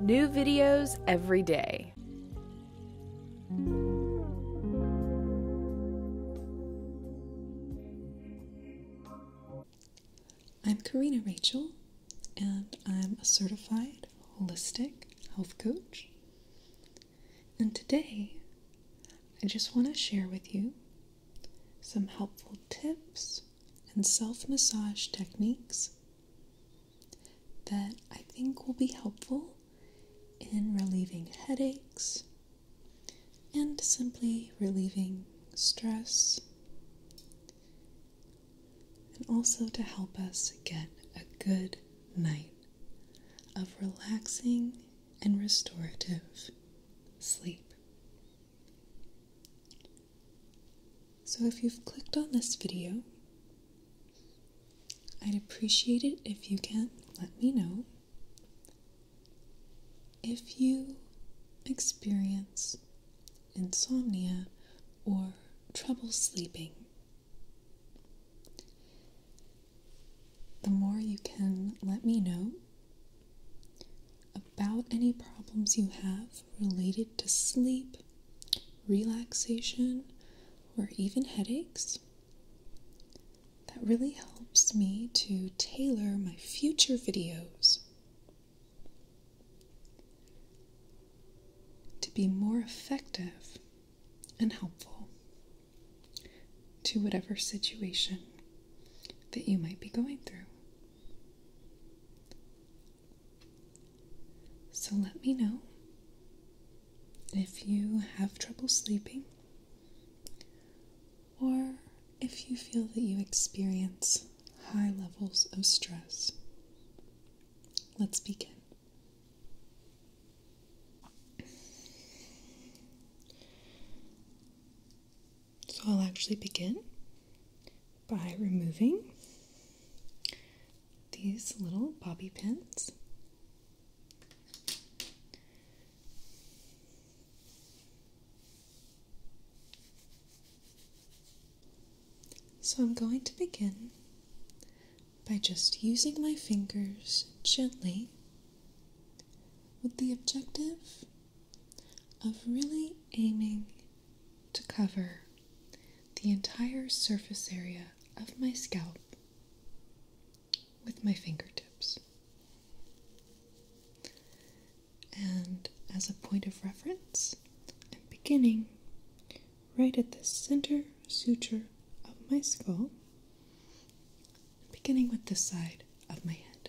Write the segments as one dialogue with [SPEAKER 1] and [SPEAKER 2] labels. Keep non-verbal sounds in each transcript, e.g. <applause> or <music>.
[SPEAKER 1] New videos every day. I'm Karina Rachel, and I'm a certified holistic health coach. And today, I just want to share with you some helpful tips and self massage techniques that I think will be helpful in relieving headaches and simply relieving stress, and also to help us get a good night of relaxing and restorative sleep. So if you've clicked on this video, I'd appreciate it if you can let me know if you experience insomnia or trouble sleeping. The more you can let me know about any problems you have related to sleep, relaxation, or even headaches. That really helps me to tailor my future videos to be more effective and helpful to whatever situation that you might be going through. So let me know if you have trouble sleeping or if you feel that you experience high levels of stress. Let's begin. So I'll actually begin by removing these little bobby pins. So I'm going to begin by just using my fingers gently with the objective of really aiming to cover the entire surface area of my scalp with my fingertips. And as a point of reference, I'm beginning right at the center suture of my skull, beginning with this side of my head.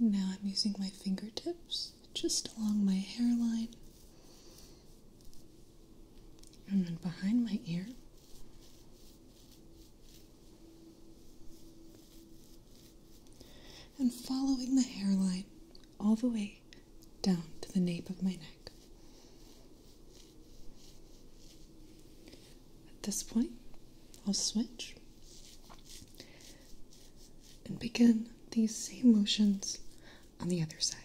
[SPEAKER 1] Now I'm using my fingertips just along my hairline and then behind my ear. And following the hairline all the way down to the nape of my neck. At this point, I'll switch and begin these same motions on the other side.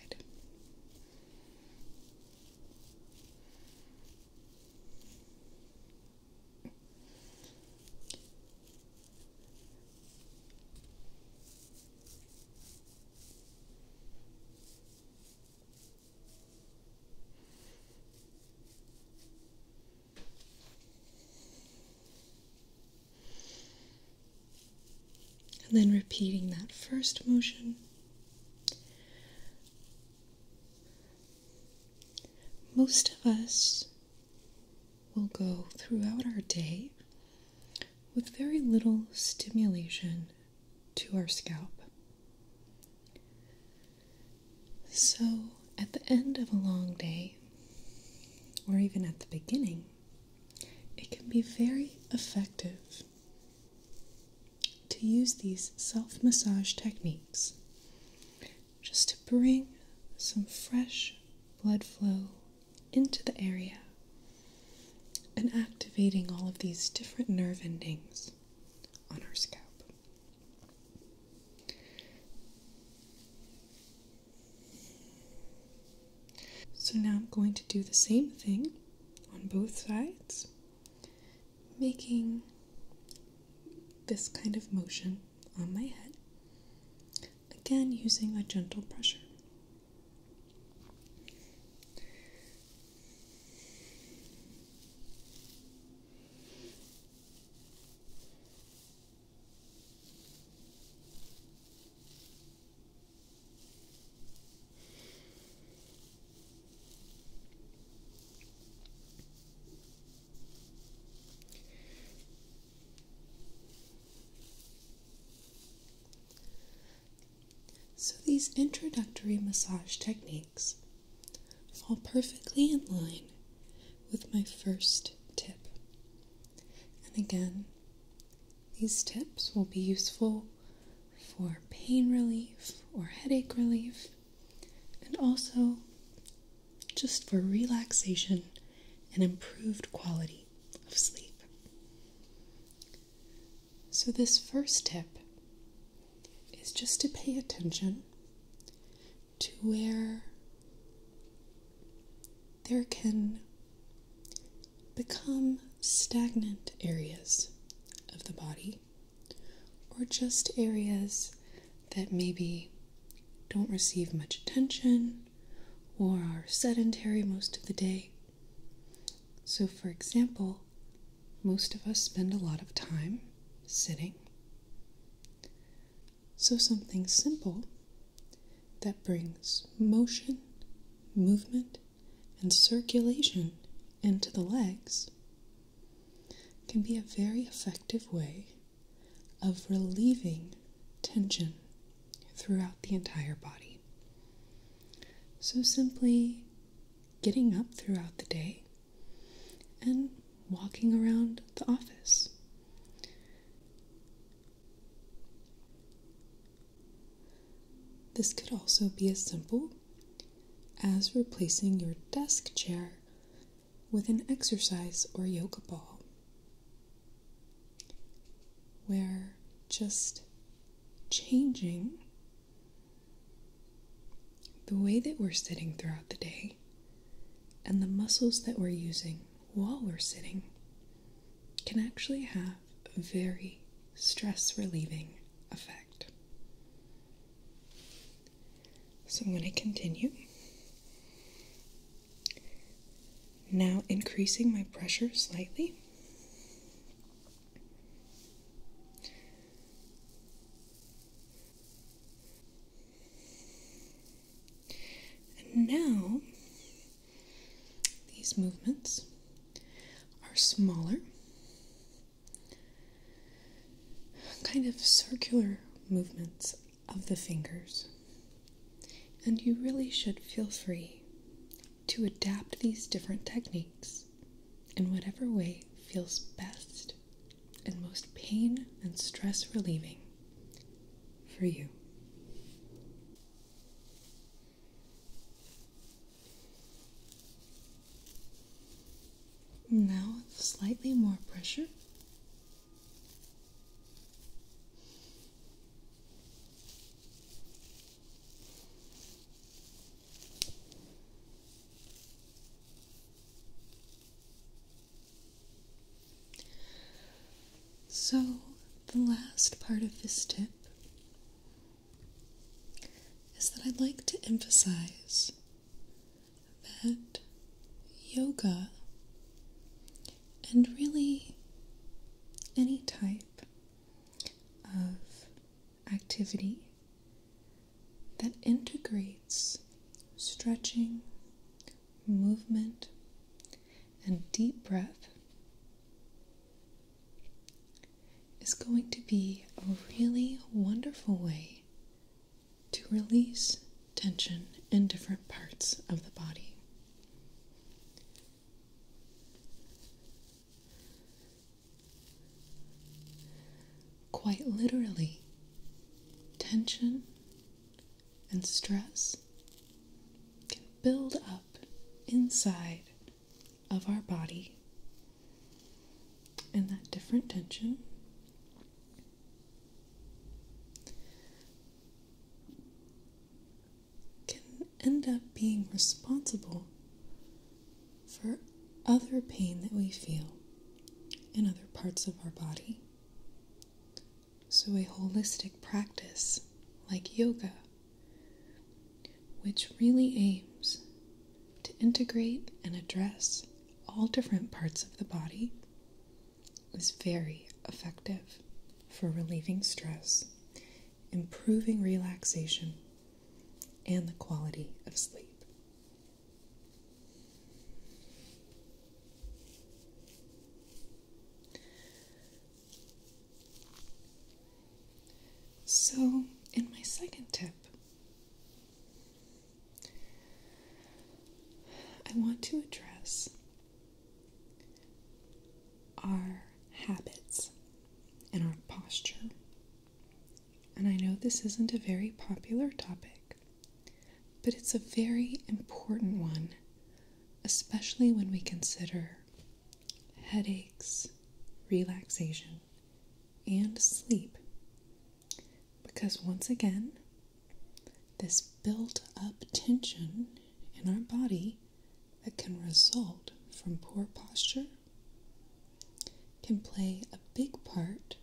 [SPEAKER 1] And then repeating that first motion, most of us will go throughout our day with very little stimulation to our scalp. So, at the end of a long day, or even at the beginning, it can be very effective to use these self massage techniques just to bring some fresh blood flow into the area and activating all of these different nerve endings on our scalp. So now I'm going to do the same thing on both sides, making this kind of motion on my head, again using a gentle pressure. So, these introductory massage techniques fall perfectly in line with my first tip. And again, these tips will be useful for pain relief or headache relief, and also just for relaxation and improved quality of sleep. So, this first tip is just to pay attention to where there can become stagnant areas of the body or just areas that maybe don't receive much attention or are sedentary most of the day. So, for example, most of us spend a lot of time sitting. So, something simple that brings motion, movement, and circulation into the legs can be a very effective way of relieving tension throughout the entire body. So, simply getting up throughout the day and walking around the office. This could also be as simple as replacing your desk chair with an exercise or yoga ball, We're just changing the way that we're sitting throughout the day, and the muscles that we're using while we're sitting can actually have a very stress relieving effect. So I'm going to continue. Now increasing my pressure slightly. And now these movements are smaller, kind of circular movements of the fingers. And you really should feel free to adapt these different techniques in whatever way feels best and most pain and stress relieving for you. Now, with slightly more pressure, so, the last part of this tip is that I'd like to emphasize that yoga and really any type of activity that integrates stretching, movement, and deep breath is going to be a really wonderful way to release tension in different parts of the body quite literally tension and stress can build up inside of our body, and that different tension can end up being responsible for other pain that we feel. In other parts of our body. So, a holistic practice like yoga, which really aims to integrate and address all different parts of the body, is very effective for relieving stress, improving relaxation, and the quality of sleep. So, in my second tip, I want to address our habits and our posture and I know this isn't a very popular topic, but it's a very important one, especially when we consider headaches, relaxation, and sleep. Because once again, this built up tension in our body that can result from poor posture can play a big part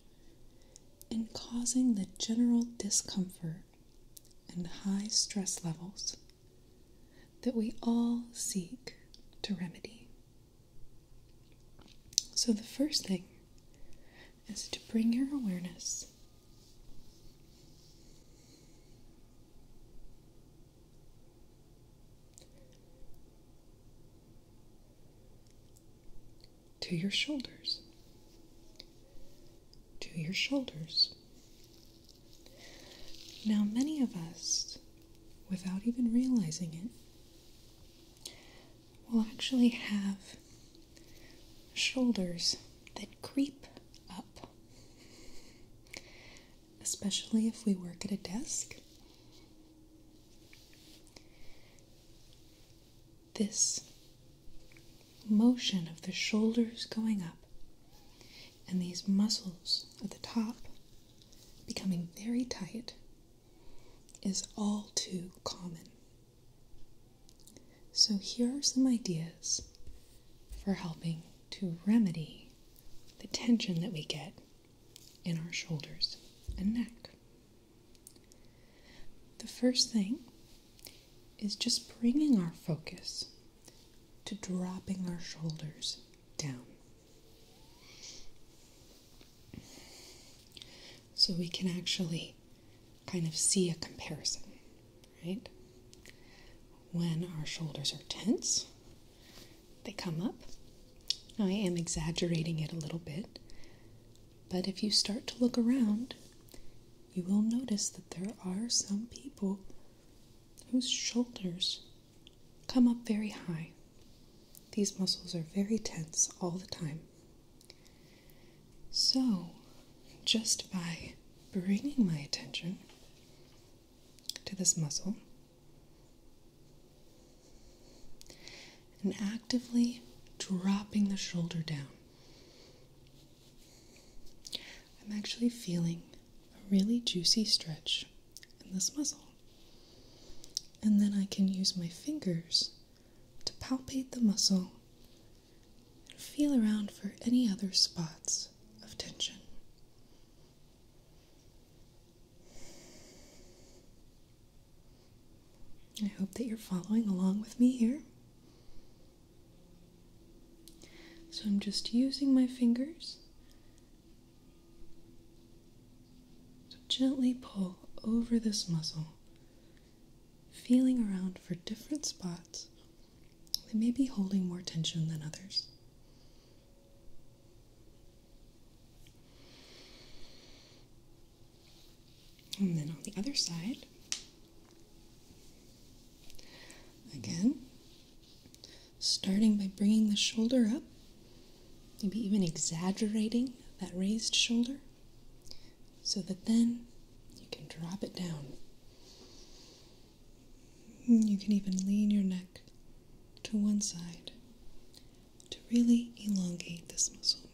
[SPEAKER 1] in causing the general discomfort and high stress levels that we all seek to remedy. So, the first thing is to bring your awareness to your shoulders, to your shoulders. Now, many of us, without even realizing it, will actually have shoulders that creep up, especially if we work at a desk this motion of the shoulders going up and these muscles at the top becoming very tight is all too common. So, here are some ideas for helping to remedy the tension that we get in our shoulders and neck. The first thing is just bringing our focus to dropping our shoulders down. So we can actually kind of see a comparison, right? When our shoulders are tense, they come up. I am exaggerating it a little bit, but if you start to look around, you will notice that there are some people whose shoulders come up very high. These muscles are very tense all the time. So, just by bringing my attention to this muscle, and actively dropping the shoulder down. I'm actually feeling a really juicy stretch in this muscle. And then I can use my fingers to palpate the muscle and feel around for any other spots of tension. I hope that you're following along with me here. So I'm just using my fingers to gently pull over this muscle, feeling around for different spots that may be holding more tension than others. And then on the other side, again, starting by bringing the shoulder up, maybe even exaggerating that raised shoulder, so that then you can drop it down. You can even lean your neck to one side to really elongate this muscle.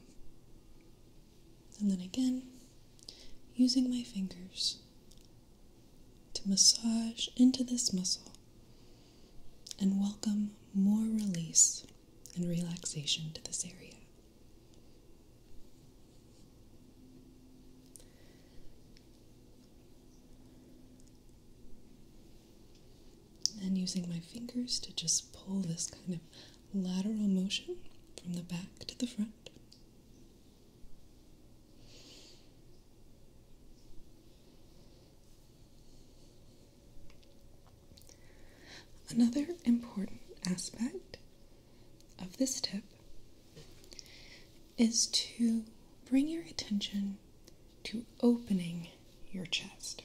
[SPEAKER 1] And then again, using my fingers to massage into this muscle and welcome more release and relaxation to this area. And using my fingers to just pull this kind of lateral motion from the back to the front. Another important aspect of this tip is to bring your attention to opening your chest.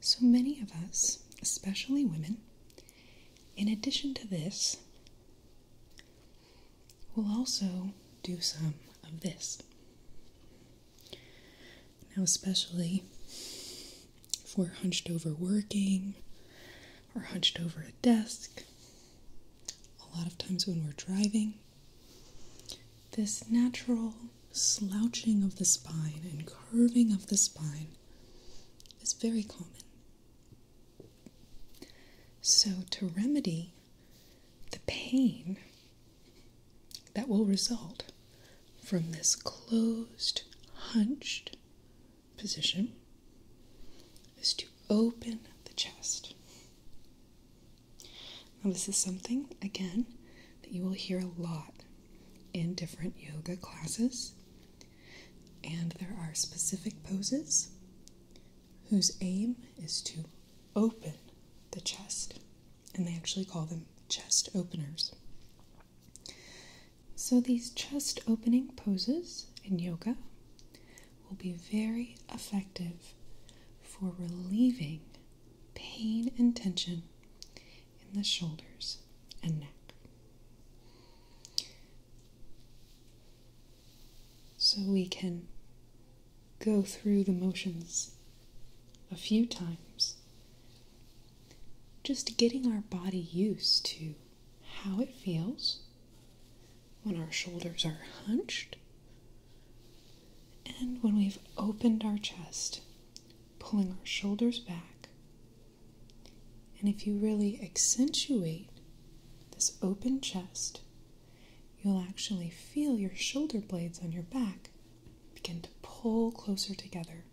[SPEAKER 1] So many of us, especially women, in addition to this, will also do some of this. Now, especially for hunched over working or hunched over a desk, a lot of times when we're driving, this natural slouching of the spine and curving of the spine is very common. So, to remedy the pain that will result from this closed, hunched position, is to open the chest. Now, this is something, again, that you will hear a lot in different yoga classes, and there are specific poses whose aim is to open the chest, and they actually call them chest openers. So, these chest opening poses in yoga will be very effective for relieving pain and tension in the shoulders and neck. So we can go through the motions a few times, just getting our body used to how it feels when our shoulders are hunched and when we've opened our chest, pulling our shoulders back, and if you really accentuate this open chest, you'll actually feel your shoulder blades on your back begin to pull closer together.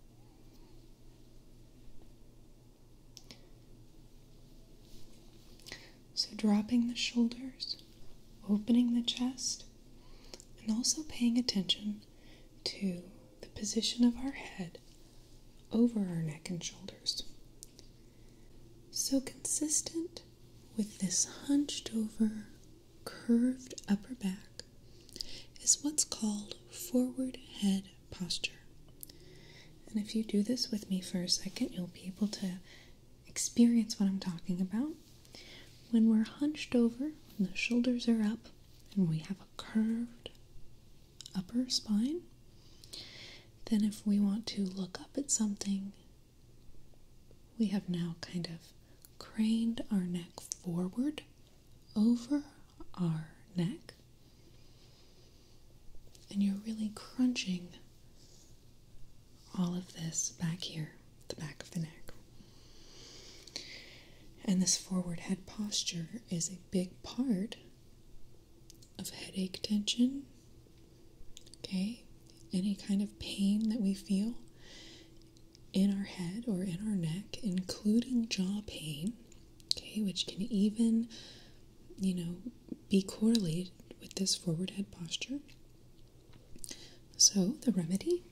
[SPEAKER 1] So, dropping the shoulders, opening the chest, and also paying attention to the position of our head over our neck and shoulders. So, consistent with this hunched over, curved upper back is what's called forward head posture. And if you do this with me for a second, you'll be able to experience what I'm talking about when we're hunched over, when the shoulders are up, and we have a curved upper spine, then if we want to look up at something, we have now kind of craned our neck forward over our neck, and you're really crunching all of this back here the back of the neck. And this forward head posture is a big part of headache tension. Okay? Any kind of pain that we feel in our head or in our neck, including jaw pain, okay, which can even, you know, be correlated with this forward head posture. So, the remedy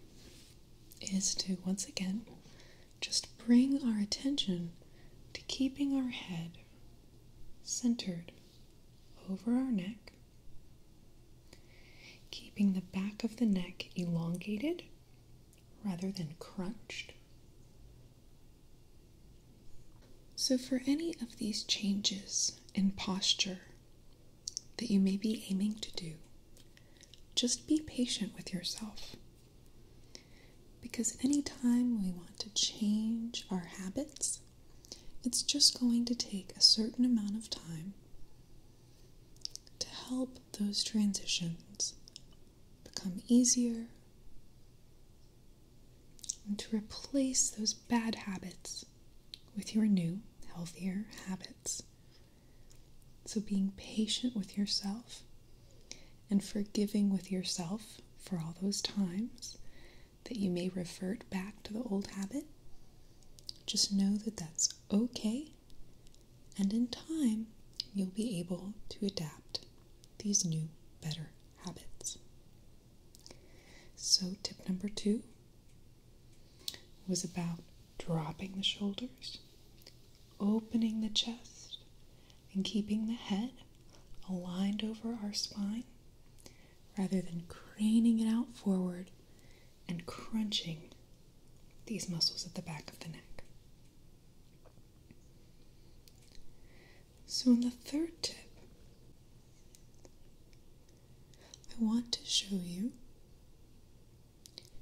[SPEAKER 1] is to once again just bring our attention to keeping our head centered over our neck, keeping the back of the neck elongated rather than crunched. So, for any of these changes in posture that you may be aiming to do, just be patient with yourself. Because anytime we want to change our habits, it's just going to take a certain amount of time to help those transitions become easier and to replace those bad habits with your new, healthier habits so, being patient with yourself and forgiving with yourself for all those times that you may revert back to the old habit, just know that that's okay, and in time, you'll be able to adapt these new, better habits. So, tip number two was about dropping the shoulders, opening the chest, and keeping the head aligned over our spine rather than craning it out forward and crunching these muscles at the back of the neck. So, in the third tip, I want to show you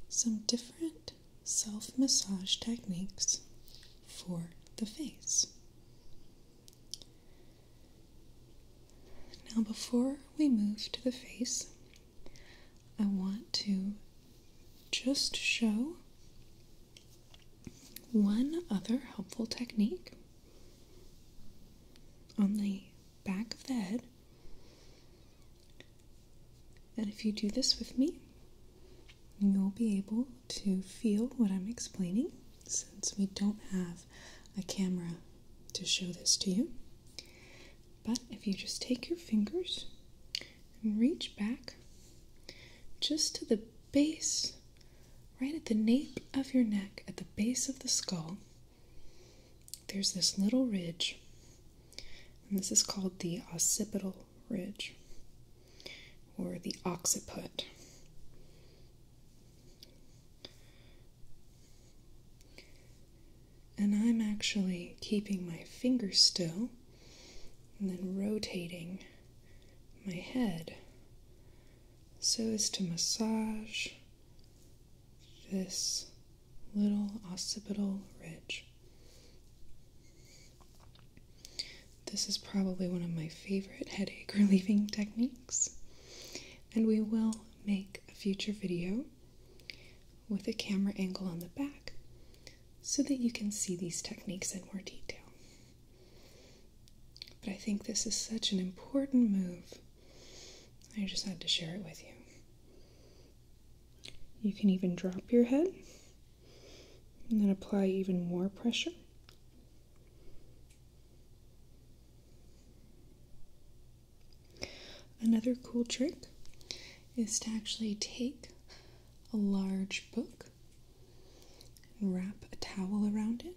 [SPEAKER 1] some different self massage techniques for the face. Now, before we move to the face, I want to just show one other helpful technique on the back of the head and if you do this with me, you'll be able to feel what I'm explaining since we don't have a camera to show this to you. But if you just take your fingers and reach back just to the base, right at the nape of your neck, at the base of the skull, there's this little ridge, and this is called the occipital ridge or the occiput. And I'm actually keeping my finger still and then rotating my head so as to massage this little occipital ridge. This is probably one of my favorite headache <laughs> relieving techniques, and we will make a future video with a camera angle on the back so that you can see these techniques in more detail. But I think this is such an important move I just had to share it with you. You can even drop your head and then apply even more pressure. Another cool trick is to actually take a large book wrap a towel around it.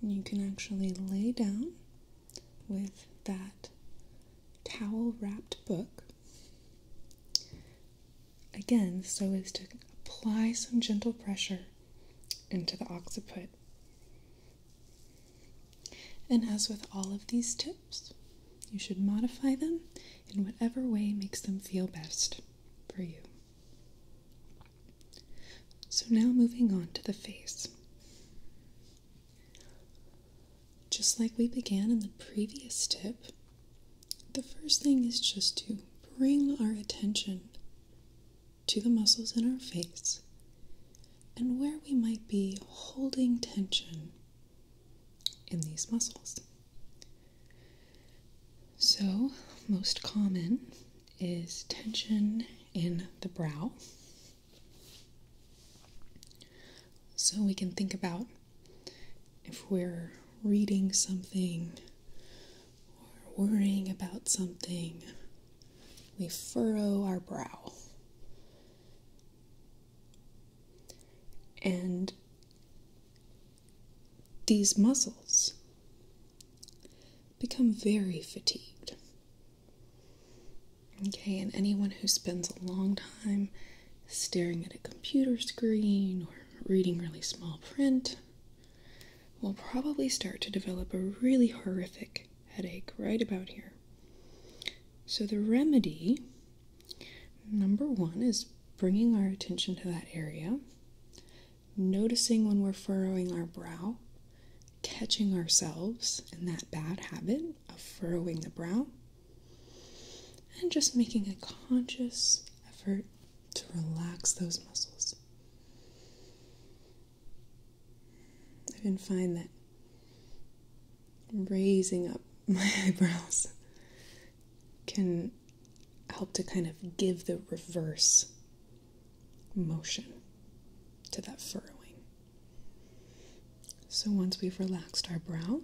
[SPEAKER 1] And you can actually lay down with that towel wrapped book. Again, so as to apply some gentle pressure into the occiput. And as with all of these tips, you should modify them in whatever way makes them feel best for you. So now moving on to the face. Just like we began in the previous tip, the first thing is just to bring our attention to the muscles in our face and where we might be holding tension in these muscles. So, most common is tension in the brow so we can think about if we're reading something or worrying about something, we furrow our brow. And these muscles become very fatigued. Okay, and anyone who spends a long time staring at a computer screen or reading really small print will probably start to develop a really horrific headache right about here. So, the remedy number one is bringing our attention to that area, noticing when we're furrowing our brow, catching ourselves in that bad habit of furrowing the brow and just making a conscious effort to relax those muscles. I can find that raising up <laughs> my eyebrows can help to kind of give the reverse motion to that furrowing. So once we've relaxed our brow,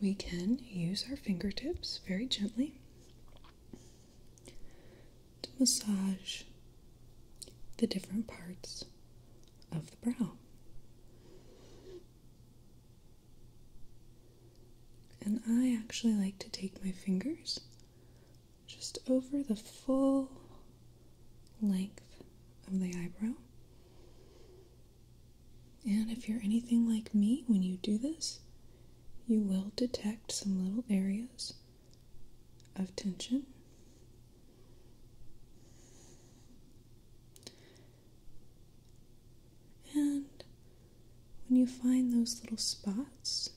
[SPEAKER 1] we can use our fingertips very gently to massage the different parts of the brow. And I actually like to take my fingers just over the full length of the eyebrow. And if you're anything like me when you do this, you will detect some little areas of tension. And when you find those little spots,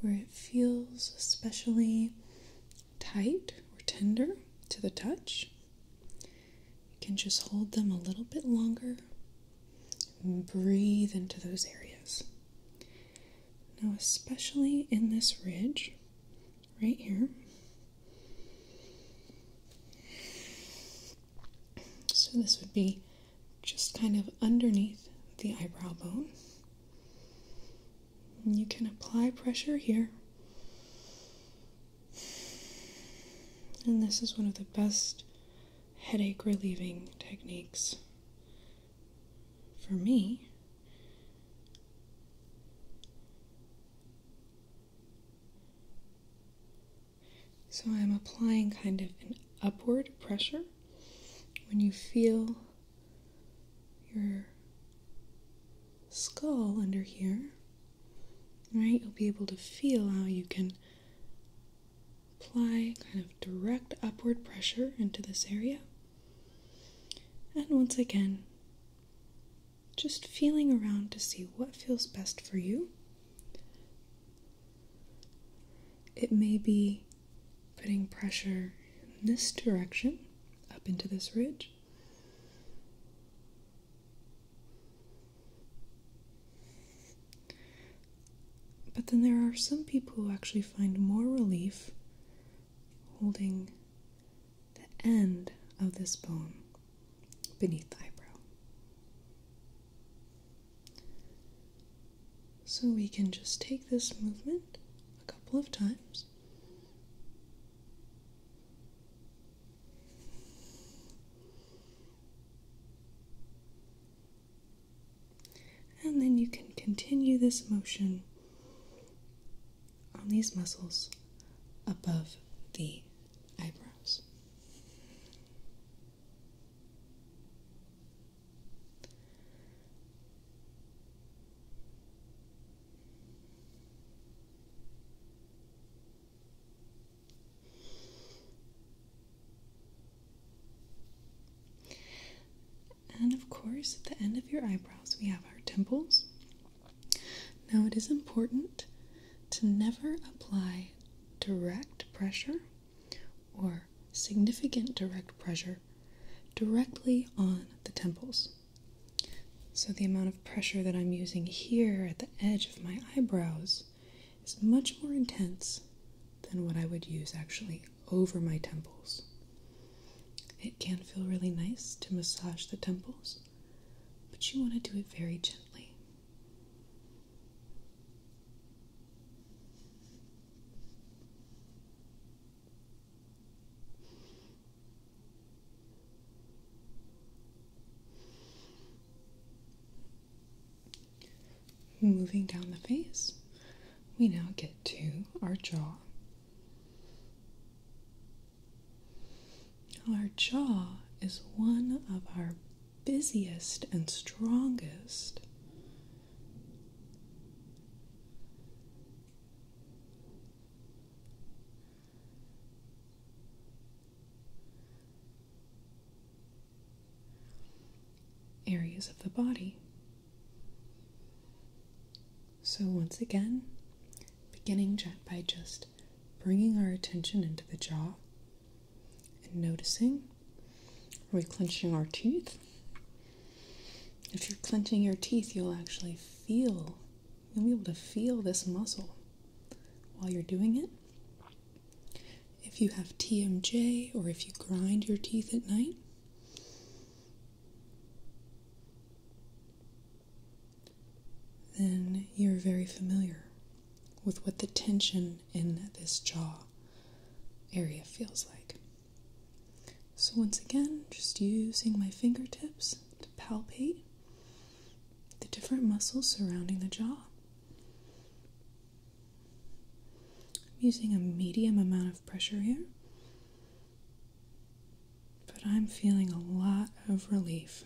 [SPEAKER 1] where it feels especially tight or tender to the touch. You can just hold them a little bit longer breathe into those areas. Now, especially in this ridge right here. So, this would be just kind of underneath the eyebrow bone you can apply pressure here. And this is one of the best headache relieving techniques for me. So I'm applying kind of an upward pressure. When you feel your skull under here, right? You'll be able to feel how you can apply kind of direct upward pressure into this area. And once again, just feeling around to see what feels best for you. It may be putting pressure in this direction up into this ridge. But then there are some people who actually find more relief holding the end of this bone beneath the eyebrow. So we can just take this movement a couple of times. And then you can continue this motion on these muscles above the eyebrows. And of course, at the end of your eyebrows, we have our temples. Now, it is important to never apply direct pressure or significant direct pressure directly on the temples. So, the amount of pressure that I'm using here at the edge of my eyebrows is much more intense than what I would use actually over my temples. It can feel really nice to massage the temples, but you want to do it very gently. Moving down the face, we now get to our jaw. Our jaw is one of our busiest and strongest areas of the body. So, once again, beginning by just bringing our attention into the jaw and noticing are we clenching our teeth? If you're clenching your teeth, you'll actually feel, you'll be able to feel this muscle while you're doing it. If you have TMJ or if you grind your teeth at night, then you're very familiar with what the tension in this jaw area feels like. So, once again, just using my fingertips to palpate the different muscles surrounding the jaw. I'm using a medium amount of pressure here, but I'm feeling a lot of relief.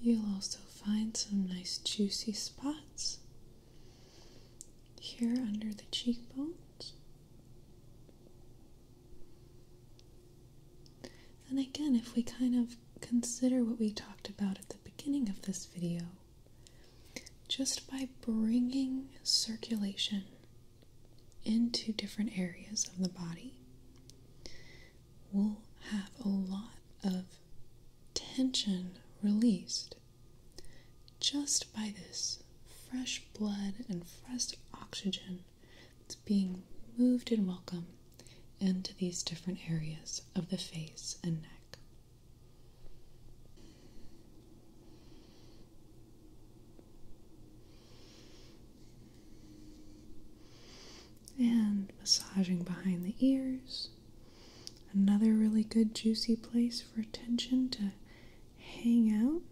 [SPEAKER 1] You'll also find some nice juicy spots here under the cheekbones. And again, if we kind of consider what we talked about at the beginning of this video, just by bringing circulation into different areas of the body, will have a lot of tension released just by this fresh blood and fresh oxygen that's being moved and welcomed into these different areas of the face and neck. And massaging behind the ears. Another really good juicy place for tension to hang out.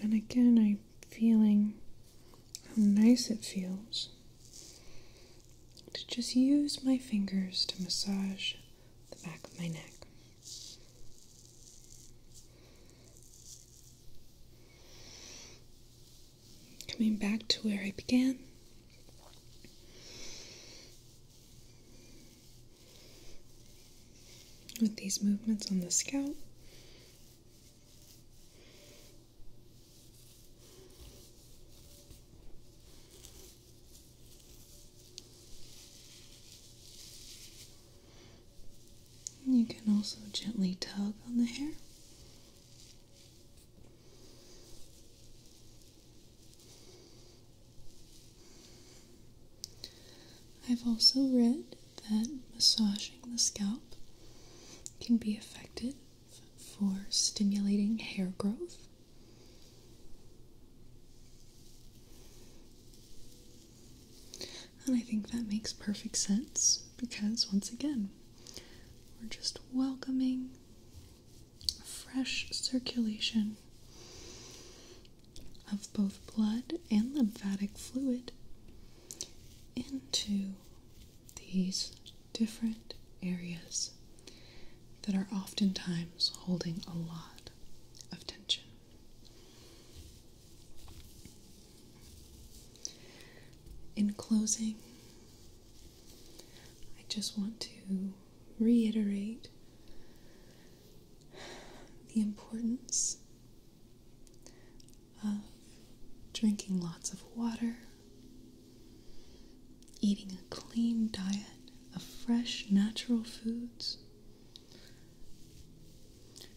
[SPEAKER 1] And again, I'm feeling how nice it feels to just use my fingers to massage the back of my neck. Coming back to where I began. With these movements on the scalp, you can also gently tug on the hair. I've also read that massaging the scalp can be affected for stimulating hair growth. And I think that makes perfect sense because, once again, we're just welcoming fresh circulation of both blood and lymphatic fluid into these different areas that are oftentimes holding a lot of tension. In closing, I just want to reiterate the importance of drinking lots of water, Eating a clean diet of fresh, natural foods.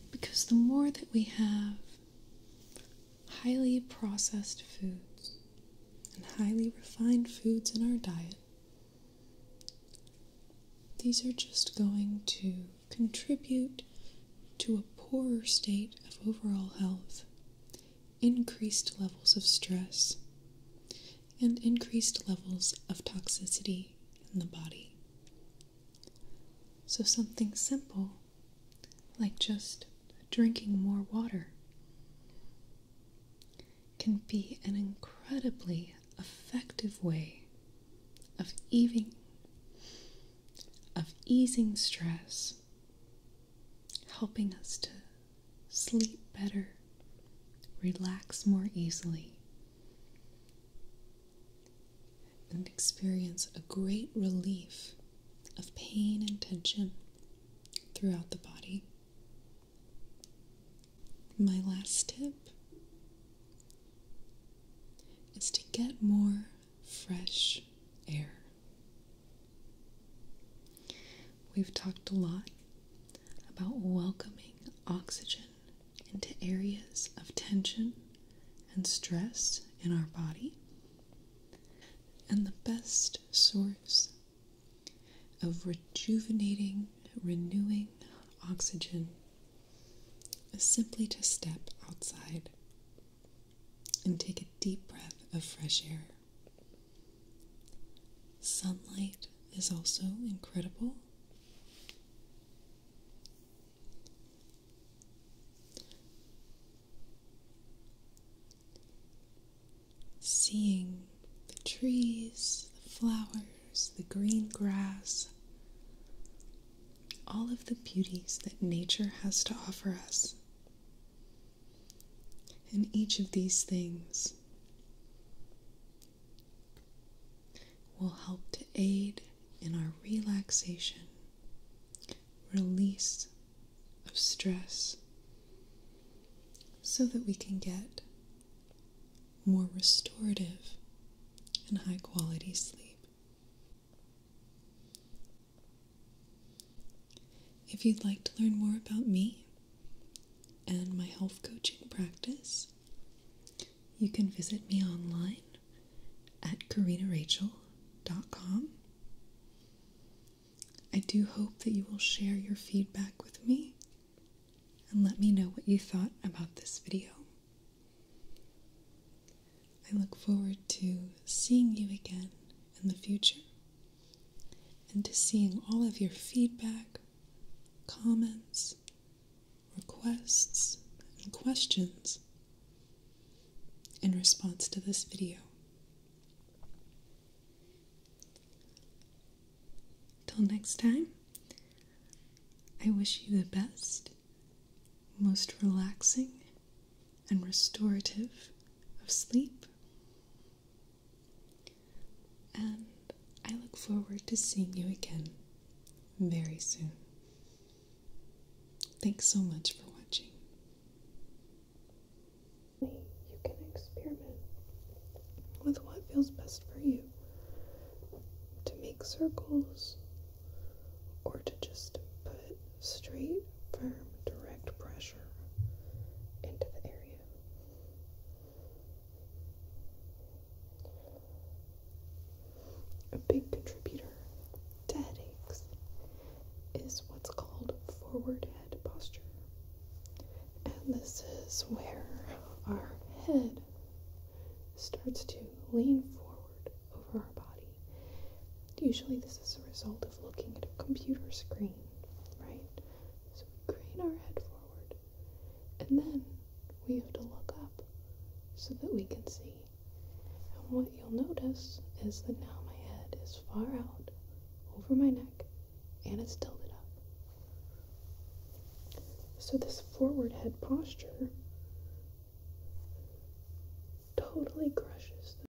[SPEAKER 1] Because the more that we have highly processed foods and highly refined foods in our diet, these are just going to contribute to a poorer state of overall health increased levels of stress and increased levels of toxicity in the body. So, something simple like just drinking more water can be an incredibly effective way of easing, of easing stress helping us to sleep better, relax more easily, and experience a great relief of pain and tension throughout the body. My last tip is to get more fresh air. We've talked a lot about welcoming oxygen into areas of tension and stress in our body. And the best source of rejuvenating, renewing oxygen is simply to step outside and take a deep breath of fresh air. Sunlight is also incredible. Seeing the trees, the flowers, the green grass, all of the beauties that nature has to offer us and each of these things will help to aid in our relaxation, release of stress, so that we can get more restorative and high quality sleep. If you'd like to learn more about me and my health coaching practice, you can visit me online at karinarachel.com. I do hope that you will share your feedback with me and let me know what you thought about this video. I look forward to seeing you again in the future and to seeing all of your feedback, comments, requests, and questions in response to this video. Till next time, I wish you the best, most relaxing, and restorative of sleep and I look forward to seeing you again very soon. Thanks so much for watching. You can experiment with what feels best for you to make circles or to just put straight, firm, direct pressure into the area. A big contributor to headaches is what's called forward head posture. And this is where our head starts to lean forward over our body. Usually, this is a result of looking at a computer screen, right? So we crane our head forward, and then we have to look up so that we can see. And what you'll notice is that now my head is far out over my neck and it's tilted up. So, this forward head posture totally crushes the